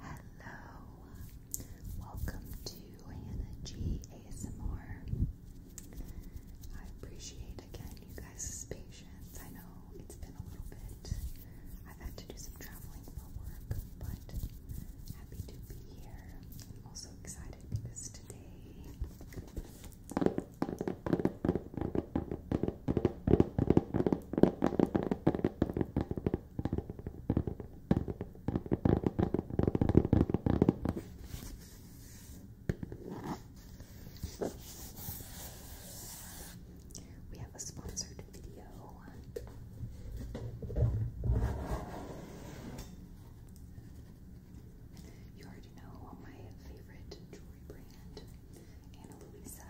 Hello, welcome to Hannah G ASMR. I appreciate again you guys' patience. I know it's been a little bit. I've had to do some traveling for work, but happy to be here. i also excited because today. We have a sponsored video. You already know my favorite jewelry brand, Anna Luisa.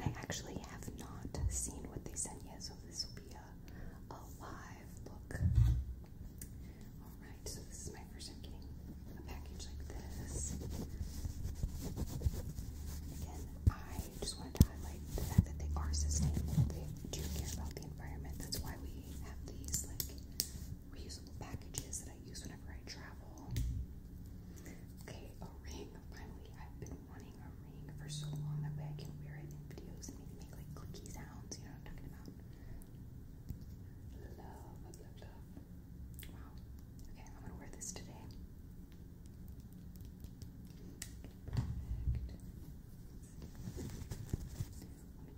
I actually have not seen what they sent yet, so this will be a, a live look. Alright, so this is my first time getting a package like this. Again, I just wanted to highlight the fact that they are sustainable. They do care about the environment. That's why we have these like reusable packages that I use whenever I travel. Okay, a ring. Finally, I've been wanting a ring for so long that way I can wear it in videos and maybe make like clicky sounds. You know what I'm talking about? Love, love, love, love. Wow. Okay, I'm gonna wear this today. Let me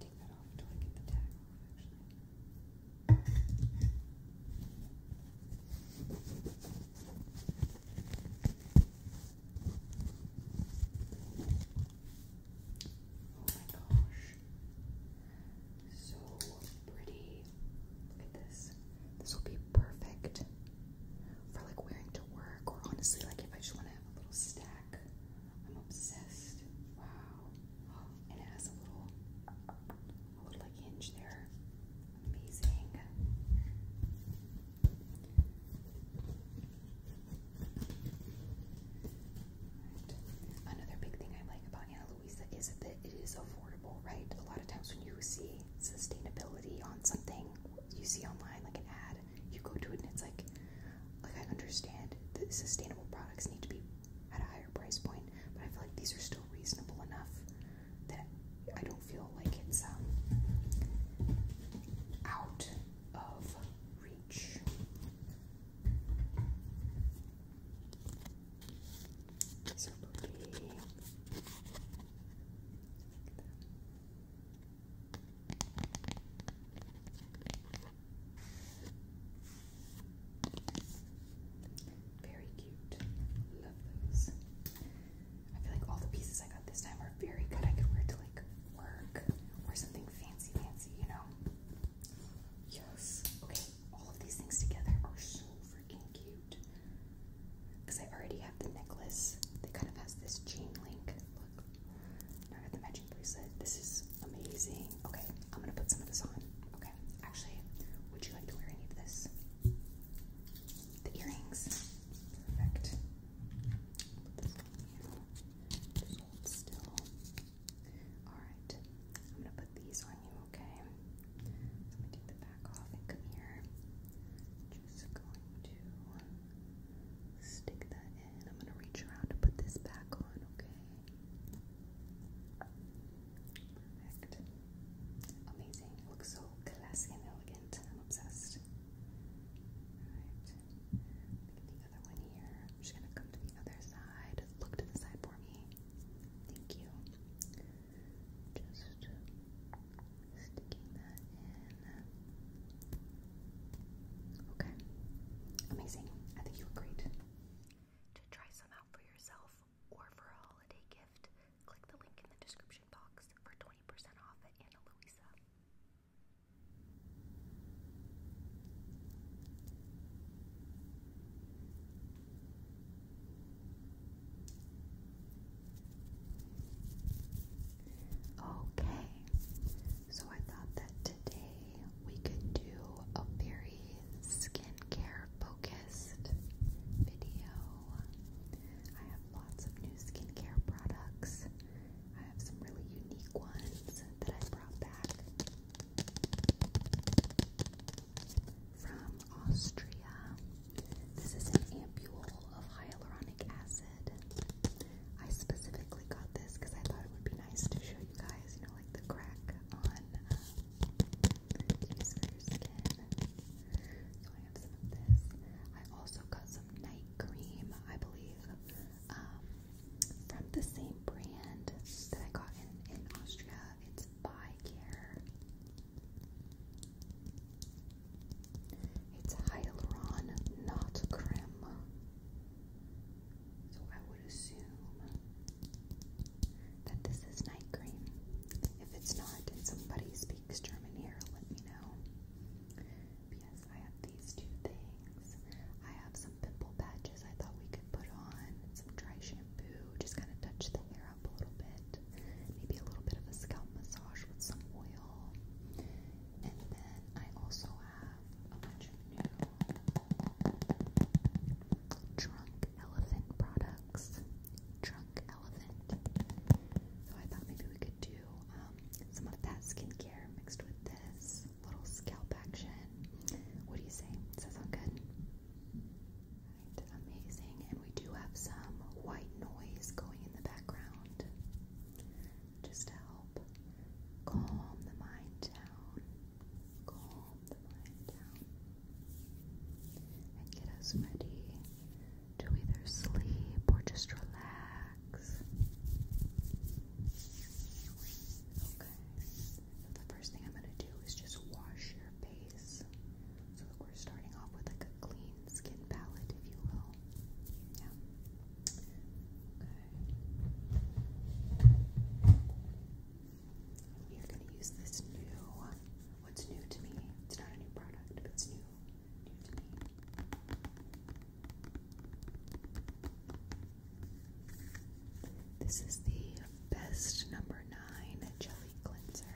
take that off until I get the tag off, actually. Oh my gosh. So pretty. Look at this. This will be perfect for like wearing to work or honestly like if I just want to have a little stack. I'm obsessed. Wow. and it has a little a little like hinge there. Amazing. Another big thing I like about Ana Luisa is that it is affordable, right? A lot of times when you see sustainability on something you see online, like an ad, you go to it and it's like, like I understand that sustainable products need to be at a higher price point, but I feel like these are still reasonable enough that I don't feel like it's um, out of reach. So pretty. Very cute. Love those. I feel like all the pieces I got this time are very good. I could wear to like work or something fancy fancy, you know? Yes. Okay, all of these things together are so freaking cute. Because I already have the necklace that kind of has this chain link. Look. Now I got the matching bracelet. This is amazing. Okay, I'm gonna put some of this on. Okay actually, would you like to wear any of this? The earrings. Perfect. Alright, I'm gonna put these on you, okay? So i take the back off and come here. Just going to stick that in. I'm gonna reach around and put this back on, okay? Perfect. Amazing. looks so classy and elegant. I'm obsessed. Alright. the other one here. I'm just gonna come to the other side. Look to the side for me. Thank you. Just sticking that in. Okay. Amazing. I think you were great. To try some out for yourself or for a holiday gift, click the link in the description box for 20% off at Ana Luisa. Okay, so I thought that today we could do a very skincare focused video. I have lots of new skincare products. I have some really unique ones that I brought back from Austria. This is an ampule of hyaluronic acid. I specifically got this because I thought it would be nice to show you guys, you know, like the crack on um, I also got some night cream, I believe, from the same brand that I got in, in Austria. It's by Care. It's Hyaluron, not creme. So I would assume that this is night cream. If it's not and somebody speaks German here, let me know. Yes, I have these two things. I have some pimple patches I thought we could put on, some dry shampoo, just kind of touch the hair up a little bit. Maybe a little bit of a scalp massage with some oil. And then I also have a bunch of new Drunk Elephant products. Drunk Elephant. So I thought maybe we could do um, some of that skincare mixed with this little scalp action. What do you say? Does that sound good? amazing. And we do have some white noise going in the background just to help calm the mind down. Calm the mind down and get us ready to either sleep or just relax. Okay, the first thing I'm going to do is just wash your face. So we're starting off with like a clean skin palette, if you will. Yeah. Okay. We are going to use this new What's new to me? It's not a new product, but it's new, new to me. This is the best number nine jelly cleanser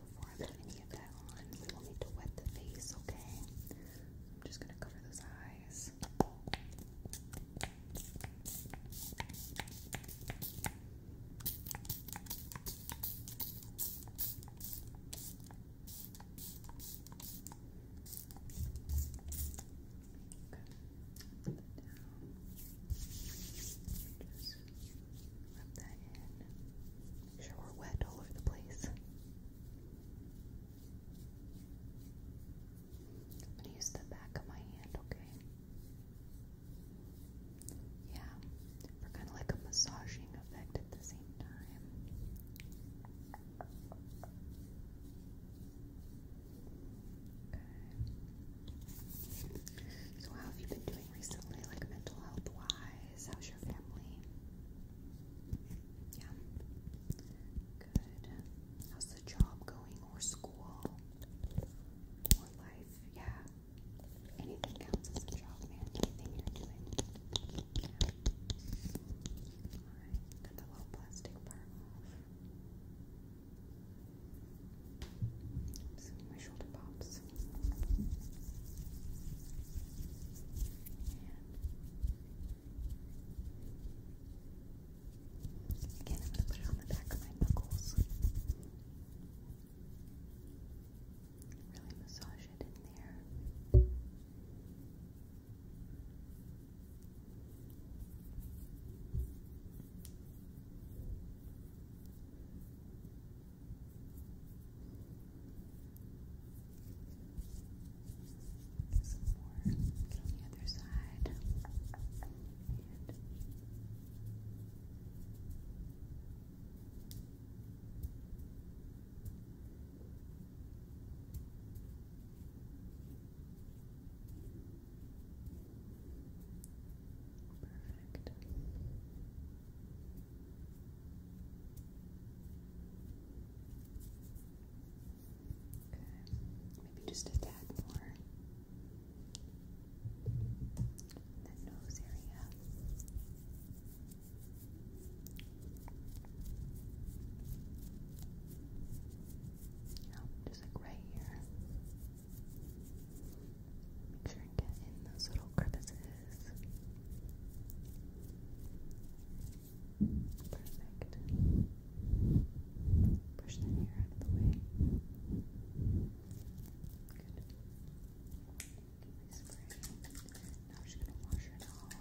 before I put need to wet the face, okay? I'm just gonna cover those eyes. Okay. Just rub that in. Sure, we're wet all over the place. I'm gonna use the back of my hand, okay? Yeah, for kind of like a massaging effect at the same time. Okay. So, how have you been doing recently, like mental health wise? guys? How's your family? Yeah. Good. How's the job going or school? Or life? Yeah. Anything counts as a job, man. Anything you're doing. Alright. Got the little plastic part off. my shoulder pops this. And again, I'm going to put it on the back of my knuckles. Really massage it in there. Some more. Get on the other side. Perfect. Maybe just a tad more. That nose area. No, oh, just like right here. Make sure and get in those little crevices. Perfect. Push the hair out of the way. Good. Now I'm just gonna wash it off.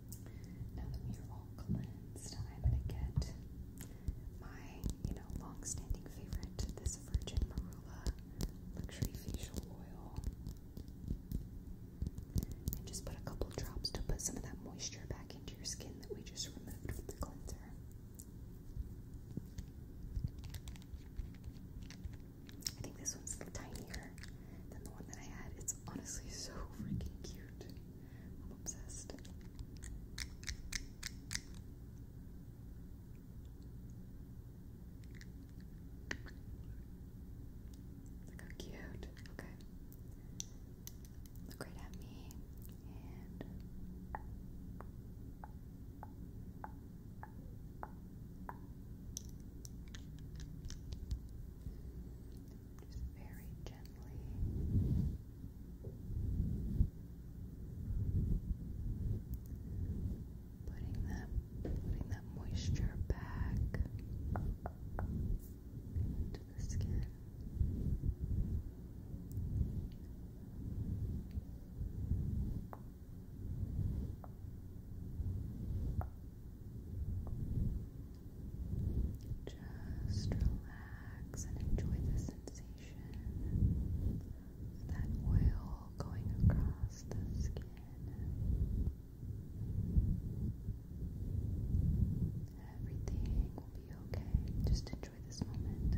Now that we all cleansed, I'm gonna get my, you know, long-standing favorite, this Virgin Marula Luxury Facial Oil. And just put a couple drops to put some of that moisture back into your skin that we just removed with the cleanser. I think this one's tinier than the one that I had. It's honestly so freaking cute. I'm obsessed. Look how cute. Okay. Look right at me and just very gently. Putting that, putting that moisture back into the skin. Just relax and enjoy the sensation of that oil going across the skin. Everything will be okay. Just enjoy this moment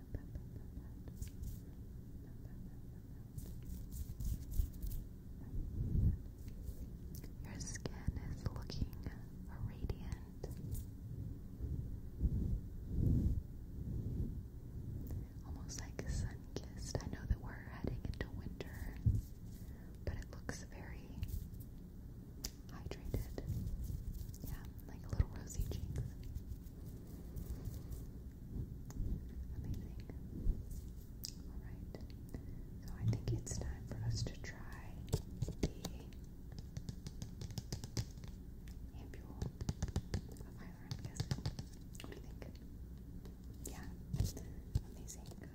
Your skin is looking radiant. Almost like sun kissed. I know that we're heading into winter, but it looks very hydrated. Yeah, like little rosy cheeks. Amazing. Alright. So I think it's time for us to try the ampule of Hyaluronic acid. What do you think? Yeah. Amazing. Go.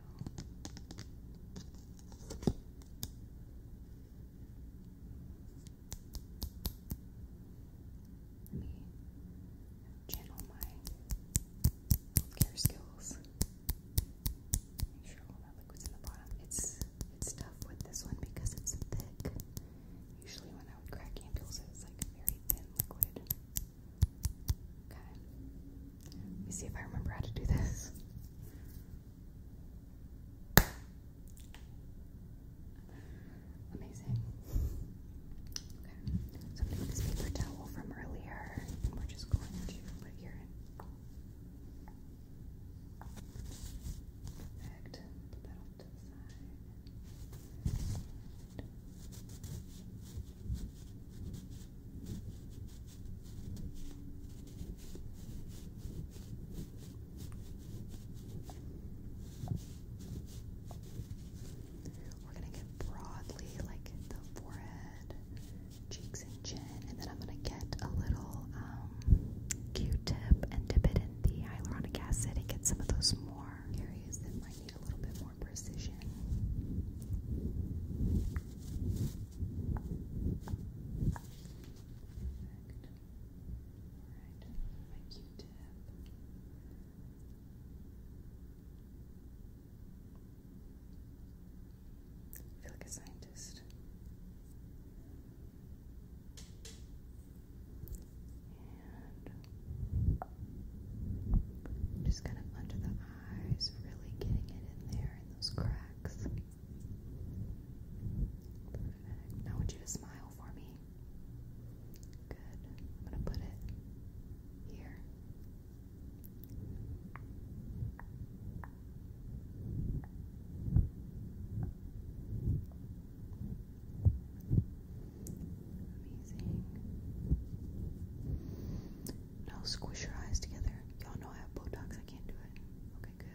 Okay. Let me channel my healthcare skills. Make sure all that liquid's in the bottom. It's it's tough with this one because it's thick. Usually when I would crack ampules, it like very thin liquid. Okay. Let me see if I remember how to do this. Amazing. Okay, so i this paper towel from earlier, and we're just going to put here. Perfect. Put that to the side. We're gonna get broadly like the forehead, cheeks, and chin, and then I'm gonna get a little um, Q-tip and dip it in the hyaluronic acid and get some of those more areas that might need a little bit more precision. Perfect. Alright, my Q-tip. I feel like a scientist. just kind of under the eyes, really getting it in there in those cracks. Now I you smile for me. Good. I'm going to put it here. Amazing. Now squish your eyes together. Y'all know I have Botox, I can't do it. Okay,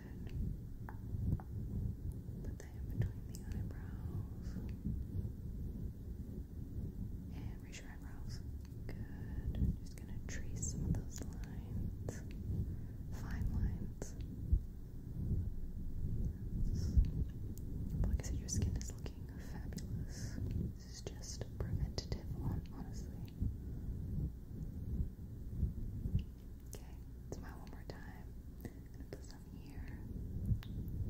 good that in between the eyebrows. And raise your eyebrows. Good. just gonna trace some of those lines. Fine lines. But like your skin is looking fabulous. This is just preventative, honestly. Okay, smile one more time. Okay, let me take a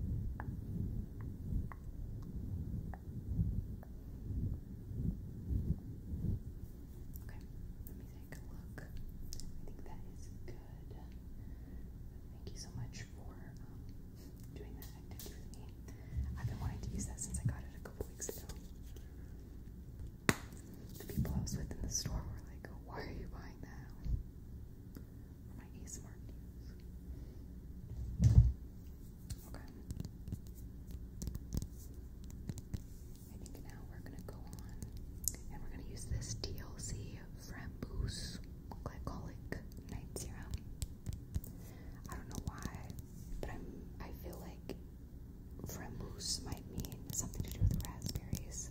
look. I think that is good. Thank you so much for doing that activity with me. I've been wanting to use that since I got it a couple weeks ago. The people I was with in the store were like, Why are you buying that? Okay. I think now we're gonna go on and we're gonna use this TLC Framboose Glycolic Night Serum. I don't know why, but I'm I feel like Framboose might mean something to do with raspberries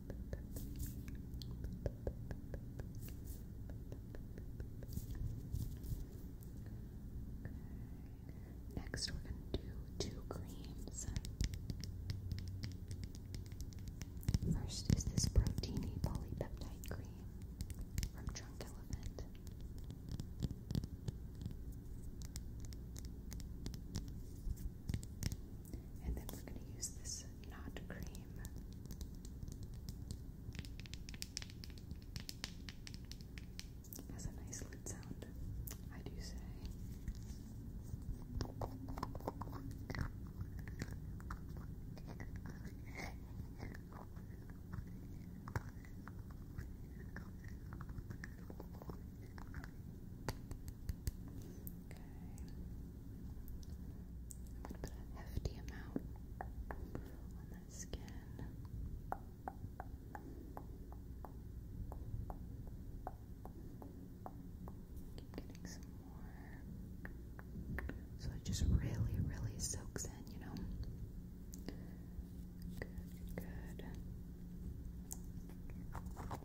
Next, we're going to do two creams. First is this proteiny polypeptide cream from Drunk Elephant. And then we're going to use this knot cream. Has a nice lid sound, I do say. Okay. I'm going to put a hefty amount on that skin. Keep getting some more. So it just really, really soaks in, you know? Good,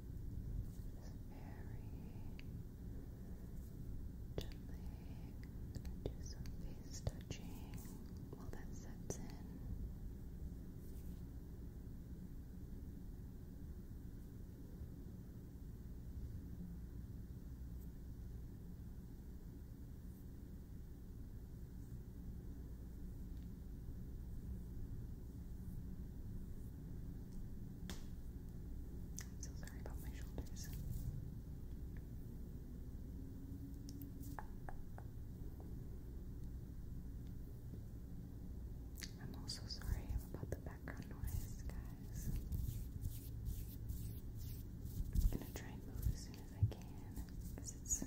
gently going do some face touching while that sets in. I'm so sorry about my shoulders. I'm also sorry about the background noise, guys. I'm gonna try and move as soon as I can because it's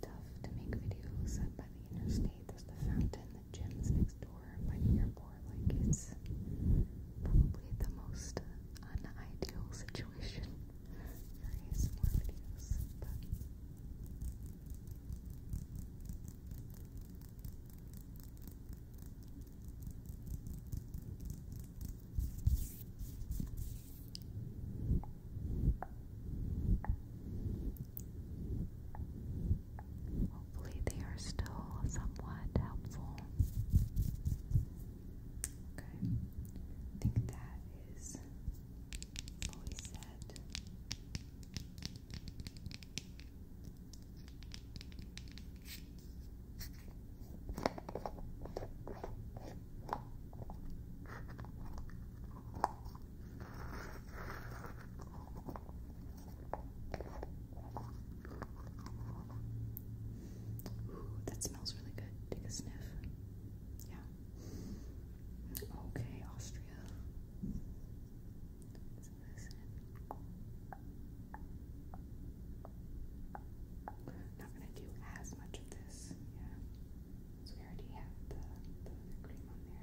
tough to make videos up by the interstate. There's the fountain, the gym's next door by the airport. Like, it's probably the most unideal situation for ASMR videos. But I Hopefully, they are still somewhat helpful. Okay, I think that is fully set. Ooh, that smells really good. Take a sniff. Yeah. Okay, Austria. Let's listen. Not gonna do as much of this. Yeah. So we already have the, cream on there.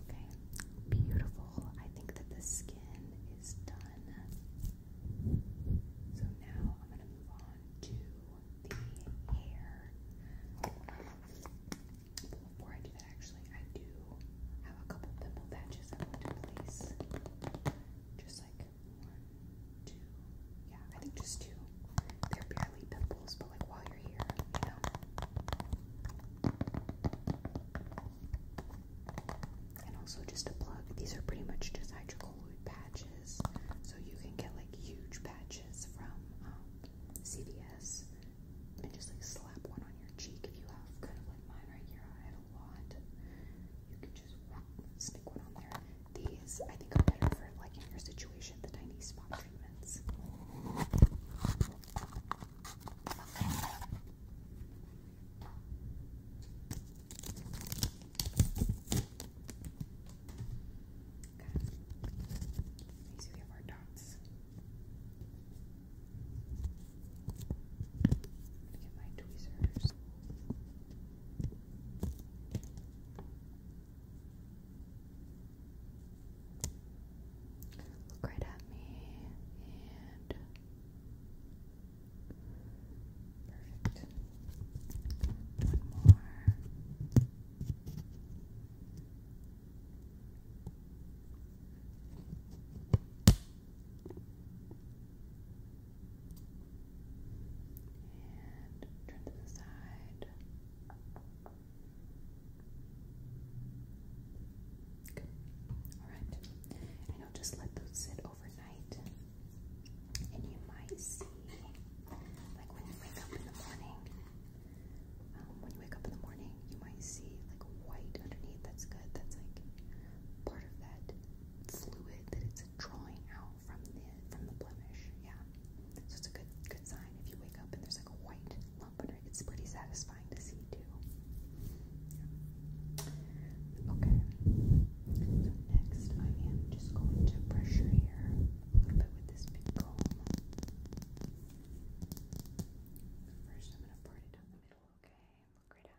Okay, beautiful. I think that the skin is done. So now I'm going to move on to the hair. Before I do that, actually, I do have a couple dimple patches I want to place. Just like two. Yeah, I think just two. They're barely pimples, but like while you're here, you know. And also just a plug. These are pretty much just hydrocolloid patches, so you can get like huge patches from um, CVS and just like slap one on your cheek if you have kind of like mine right here stick one on there. These, I think, are better for, like, in your situation, the tiny spot treatments. Okay. Let me our dots. Get my tweezers. Look right at me and perfect. One more. And turn to the Good. Alright. And I'll just let those sit overnight. And you might see, like when you wake up in the morning, um, when you wake up in the morning, you might see like white underneath. That's good. That's like part of that fluid that it's drawing out from the from the blemish. Yeah. So it's a good good sign if you wake up and there's like a white lump under it. It's pretty satisfying to see too. Okay. So next I am just going to brush your a little bit with this big comb. First I'm gonna part it down the middle, okay? Look right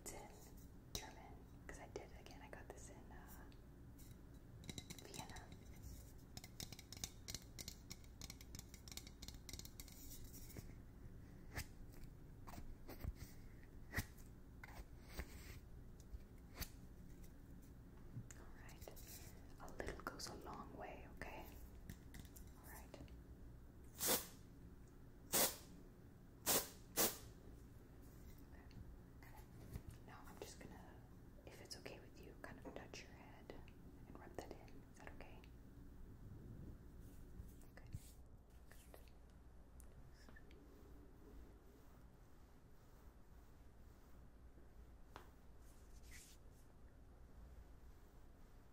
It's in German because I did again. I got this in uh, Vienna. All right, a little goes a long way, okay? All right. Okay. I'm just gonna, if it's okay with you, kind of touch your head and rub that in. Is that okay? Okay. Good.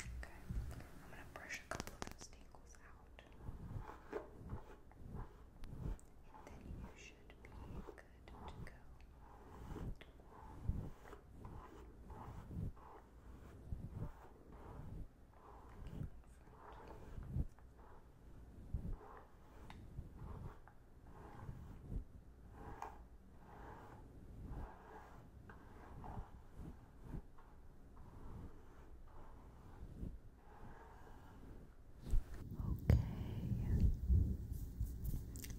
Okay, I'm gonna brush a couple of those tangles out. And then you should be good to go. Okay.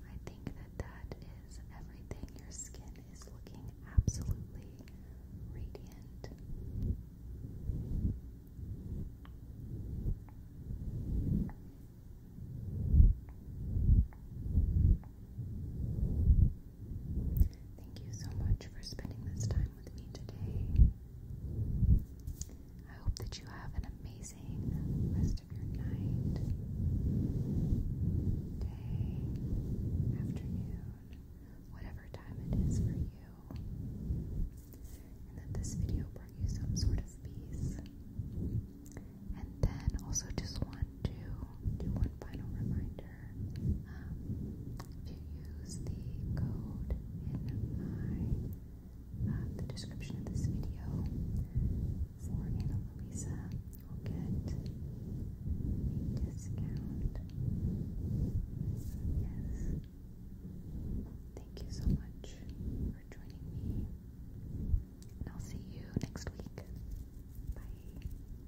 I think that that is everything. Your skin is looking absolutely radiant. Thank you so much for spending this time with me today. I hope that you have an amazing rest of your night, day, afternoon, whatever time it is for you, and that this video brought you some sort of peace. And then also just want to do one final reminder, um, if you use the code in my uh, the description of this video for Anna Luisa, you'll get a discount. Yes. Thank you so much for joining me. And I'll see you next week. Bye.